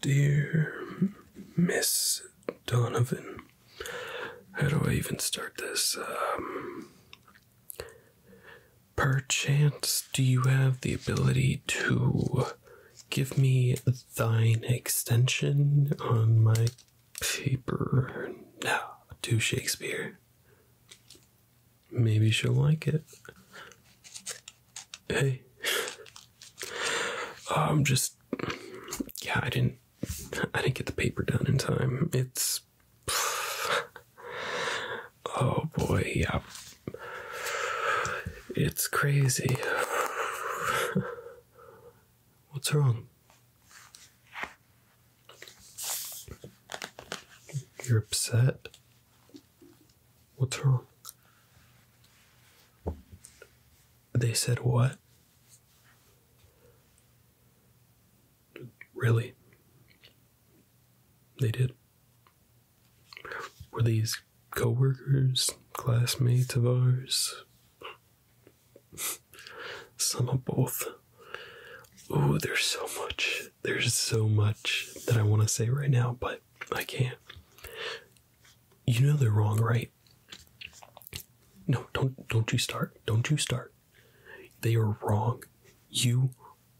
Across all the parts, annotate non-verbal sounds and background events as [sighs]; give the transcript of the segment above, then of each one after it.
Dear Miss Donovan, how do I even start this? Um, perchance, do you have the ability to give me thine extension on my paper? No, to Shakespeare. Maybe she'll like it. Hey. I'm um, just yeah, I didn't I didn't get the paper done in time. It's Oh boy, yeah. It's crazy. What's wrong? You're upset? What's wrong? They said what? Really? They did. Were these coworkers, classmates of ours? Some of both. Oh, there's so much. There's so much that I want to say right now, but I can't. You know they're wrong, right? No, don't don't you start. Don't you start. They are wrong. You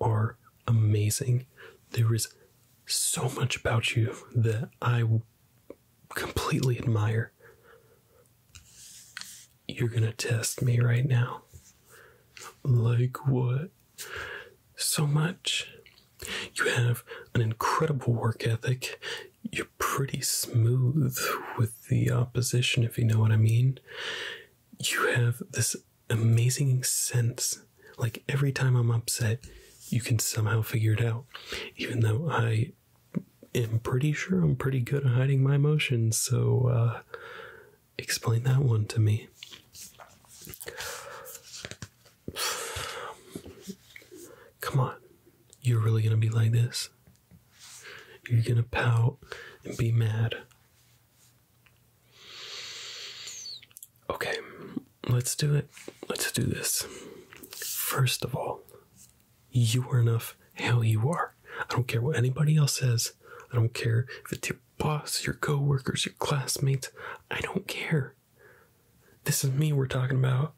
are amazing. There is so much about you that I completely admire. You're going to test me right now. Like what? so much. You have an incredible work ethic. You're pretty smooth with the opposition, if you know what I mean. You have this amazing sense. Like every time I'm upset, you can somehow figure it out. Even though I am pretty sure I'm pretty good at hiding my emotions, so uh, Explain that one to me. Come on. You're really going to be like this? You're going to pout and be mad. Okay, let's do it. Let's do this. First of all, you are enough Hell, you are. I don't care what anybody else says. I don't care if it's your boss, your co workers, your classmates. I don't care. This is me we're talking about.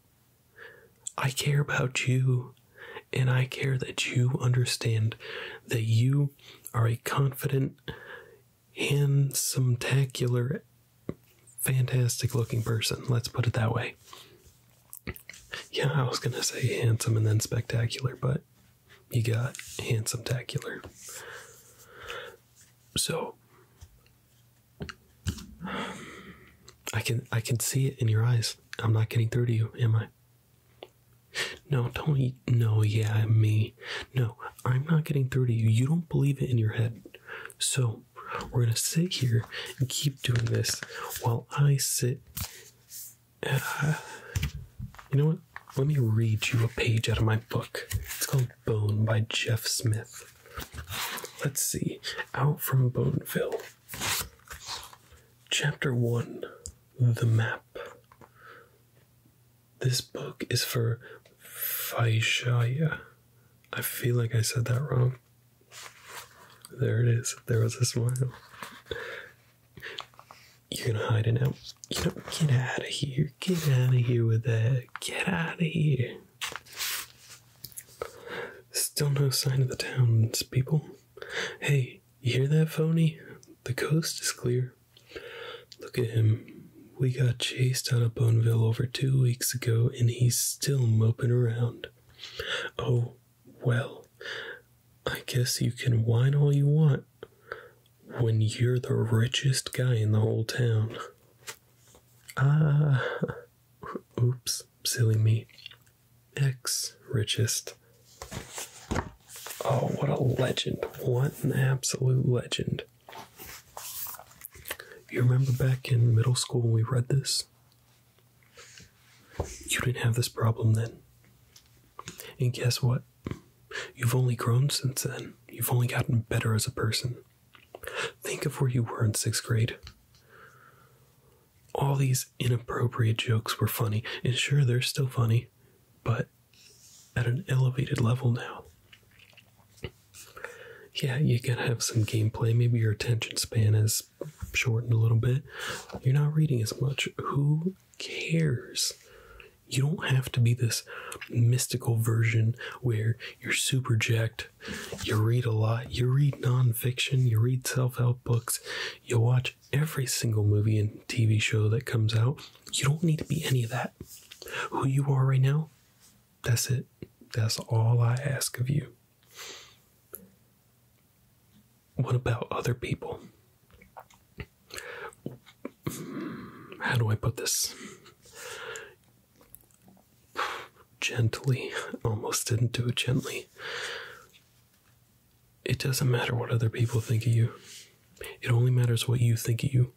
I care about you, and I care that you understand that you are a confident, handsome, tacular, fantastic looking person. Let's put it that way. Yeah, I was gonna say handsome and then spectacular, but you got handsome tacular. So I can I can see it in your eyes. I'm not getting through to you, am I? No, don't Tony. No, yeah, me. No, I'm not getting through to you. You don't believe it in your head. So we're gonna sit here and keep doing this while I sit and, [sighs] you know what? Let me read you a page out of my book. It's called Bone by Jeff Smith. Let's see. Out from Boneville. Chapter 1 The Map. This book is for Vaishaya. I feel like I said that wrong. There it is. There was a smile. You're gonna hide it now. You know, get out of here. Get out of here with that. Get out of here. Still no sign of the townspeople. Hey, you hear that, phony? The coast is clear. Look at him. We got chased out of Boneville over two weeks ago, and he's still moping around. Oh, well, I guess you can whine all you want when you're the richest guy in the whole town. Ah, [laughs] oops, silly me. Ex richest. Oh, what a legend. What an absolute legend. You remember back in middle school when we read this? You didn't have this problem then. And guess what? You've only grown since then. You've only gotten better as a person. Think of where you were in sixth grade. All these inappropriate jokes were funny, and sure, they're still funny, but at an elevated level now. Yeah, you gotta have some gameplay. Maybe your attention span is it's shortened a little bit. You're not reading as much. Who cares? You don't have to be this mystical version where you're super jacked, you read a lot, you read nonfiction, you read self help books, you watch every single movie and TV show that comes out. You don't need to be any of that. Who you are right now, that's it. That's all I ask of you. What about other people? How do I put this? Gently, almost didn't do it gently. It doesn't matter what other people think of you, it only matters what you think of you.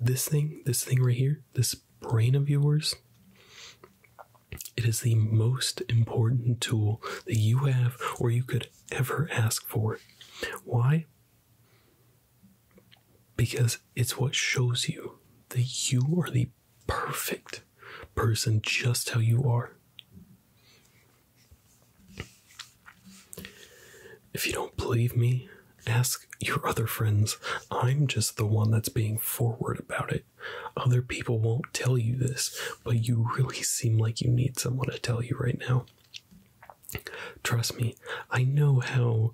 This thing, this thing right here, this brain of yours, it is the most important tool that you have or you could ever ask for. Why? Because it's what shows you that you are the perfect person just how you are. If you don't believe me, ask your other friends. I'm just the one that's being forward about it. Other people won't tell you this, but you really seem like you need someone to tell you right now. Trust me, I know how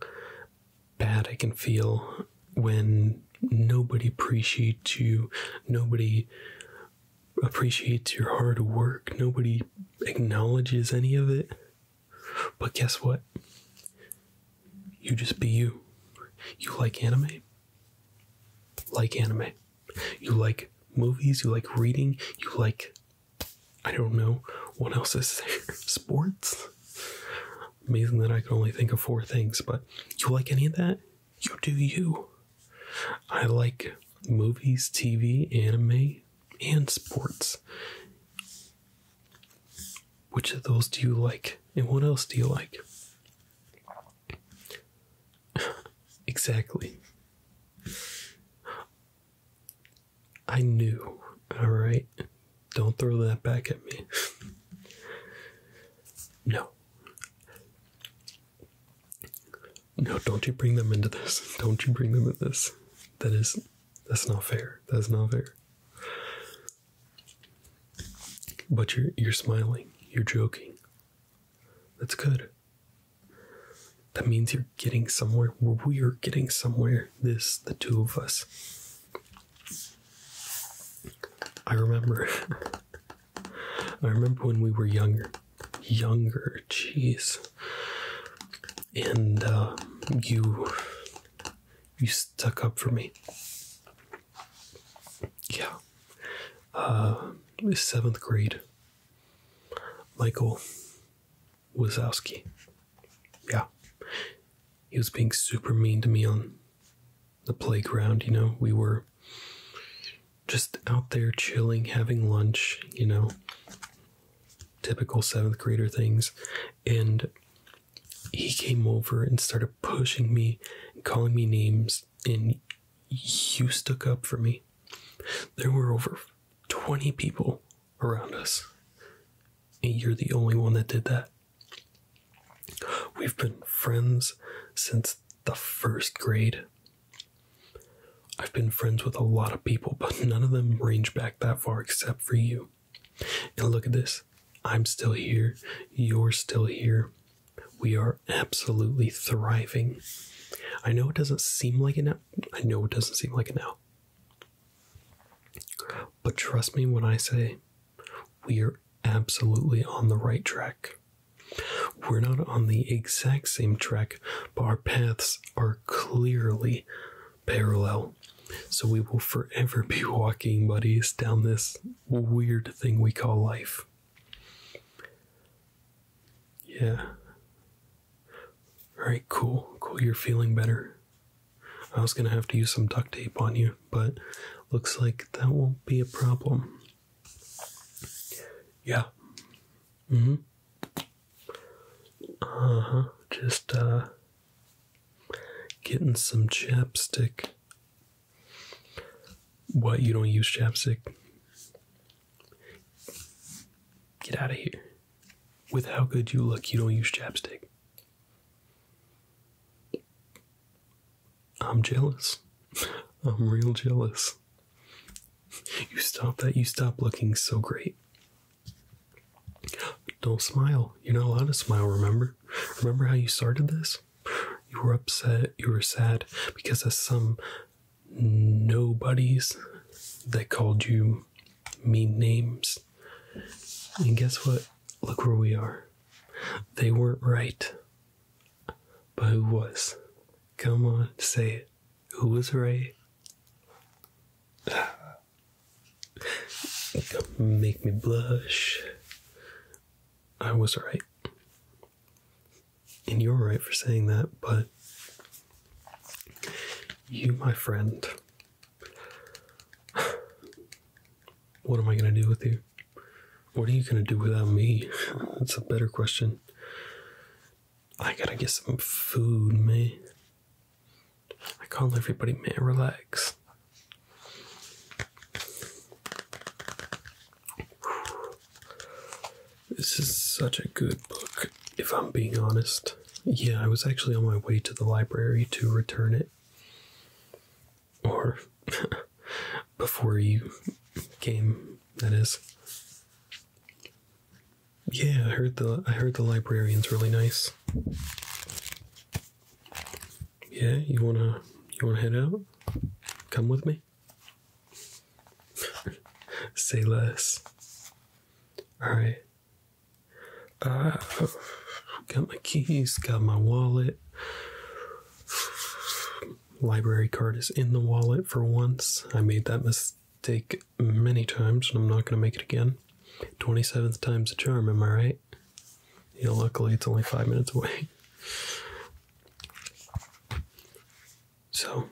bad I can feel when nobody appreciates you, nobody appreciates your hard work, nobody acknowledges any of it. But guess what? You just be you. You like anime? like anime. You like movies, you like reading, you like I don't know what else is there. [laughs] Sports? Amazing that I can only think of four things, but you like any of that? You do you. I like movies, TV, anime, and sports. Which of those do you like? And what else do you like? [laughs] exactly. I knew, alright? Don't throw that back at me. [laughs] no. No, don't you bring them into this. [laughs] Don't you bring them into this. That is, that's not fair. That's not fair. But you're you're smiling, you're joking. That's good. That means you're getting somewhere. We are getting somewhere. This, the two of us. I remember. [laughs] I remember when we were younger. Younger, jeez. And uh, you, you stuck up for me. Yeah. Uh, seventh grade. Michael Wazowski. Yeah. He was being super mean to me on the playground, you know. We were just out there chilling, having lunch, you know. Typical seventh grader things. And he came over and started pushing me and calling me names, and you stuck up for me. There were over 20 people around us, and you're the only one that did that. We've been friends since the first grade. I've been friends with a lot of people, but none of them range back that far except for you. And look at this. I'm still here. You're still here. We are absolutely thriving. I know it doesn't seem like it now. I know it doesn't seem like it now. But trust me when I say we are absolutely on the right track. We're not on the exact same track, but our paths are clearly parallel. So we will forever be walking buddies down this weird thing we call life. Yeah. Alright, cool. Cool, you're feeling better. I was gonna have to use some duct tape on you, but looks like that won't be a problem. Yeah. Mm hmm. Uh huh. Just, uh, Getting some chapstick. What, you don't use chapstick? Get out of here. With how good you look, you don't use chapstick. I'm jealous. [laughs] I'm real jealous. You stop that, you stop looking so great. Don't smile. You're not allowed to smile, remember? Remember how you started this? You were upset, you were sad because of some nobodies that called you mean names. And guess what? Look where we are. They weren't right. But who was? Come on, say it. Who was right? Make me blush. I was right. And you're right for saying that, but you, my friend, what am I going to do with you? What are you going to do without me? [laughs] That's a better question. I gotta get some food, man. I call everybody, man, relax. This is such a good book, if I'm being honest. Yeah, I was actually on my way to the library to return it. Or [laughs] before you came, that is. Yeah, I heard the I heard the librarian's really nice. Yeah, you wanna you wanna head out? Come with me. [laughs] Say less. Alright. Uh got my keys, got my wallet. Library card is in the wallet for once. I made that mistake many times, and I'm not going to make it again. 27th time's a charm, am I right? Yeah, luckily it's only five minutes away. [laughs] So,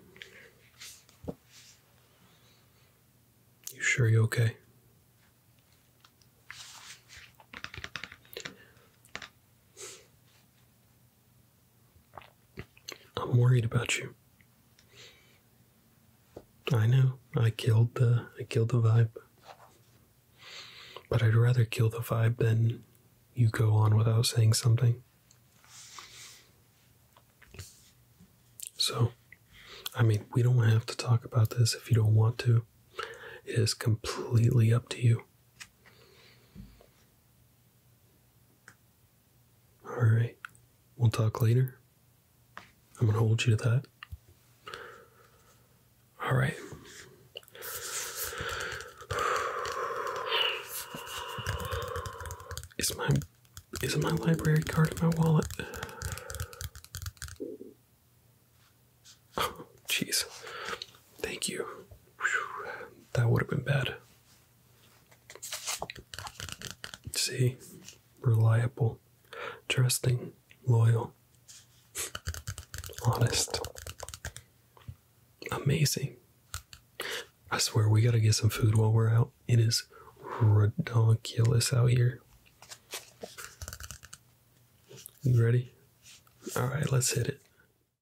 you sure you okay? I'm worried about you. I know I killed the I killed the vibe. But I'd rather kill the vibe than you go on without saying something. So, I mean, we don't have to talk about this if you don't want to. It is completely up to you. All right. We'll talk later. I'm going to hold you to that. All right. Is my is my library card in my wallet? Oh, jeez. Thank you. That would have been bad. See, reliable, trusting, loyal, honest, amazing. I swear we gotta get some food while we're out. It is ridiculous out here. You ready? All right, let's hit it.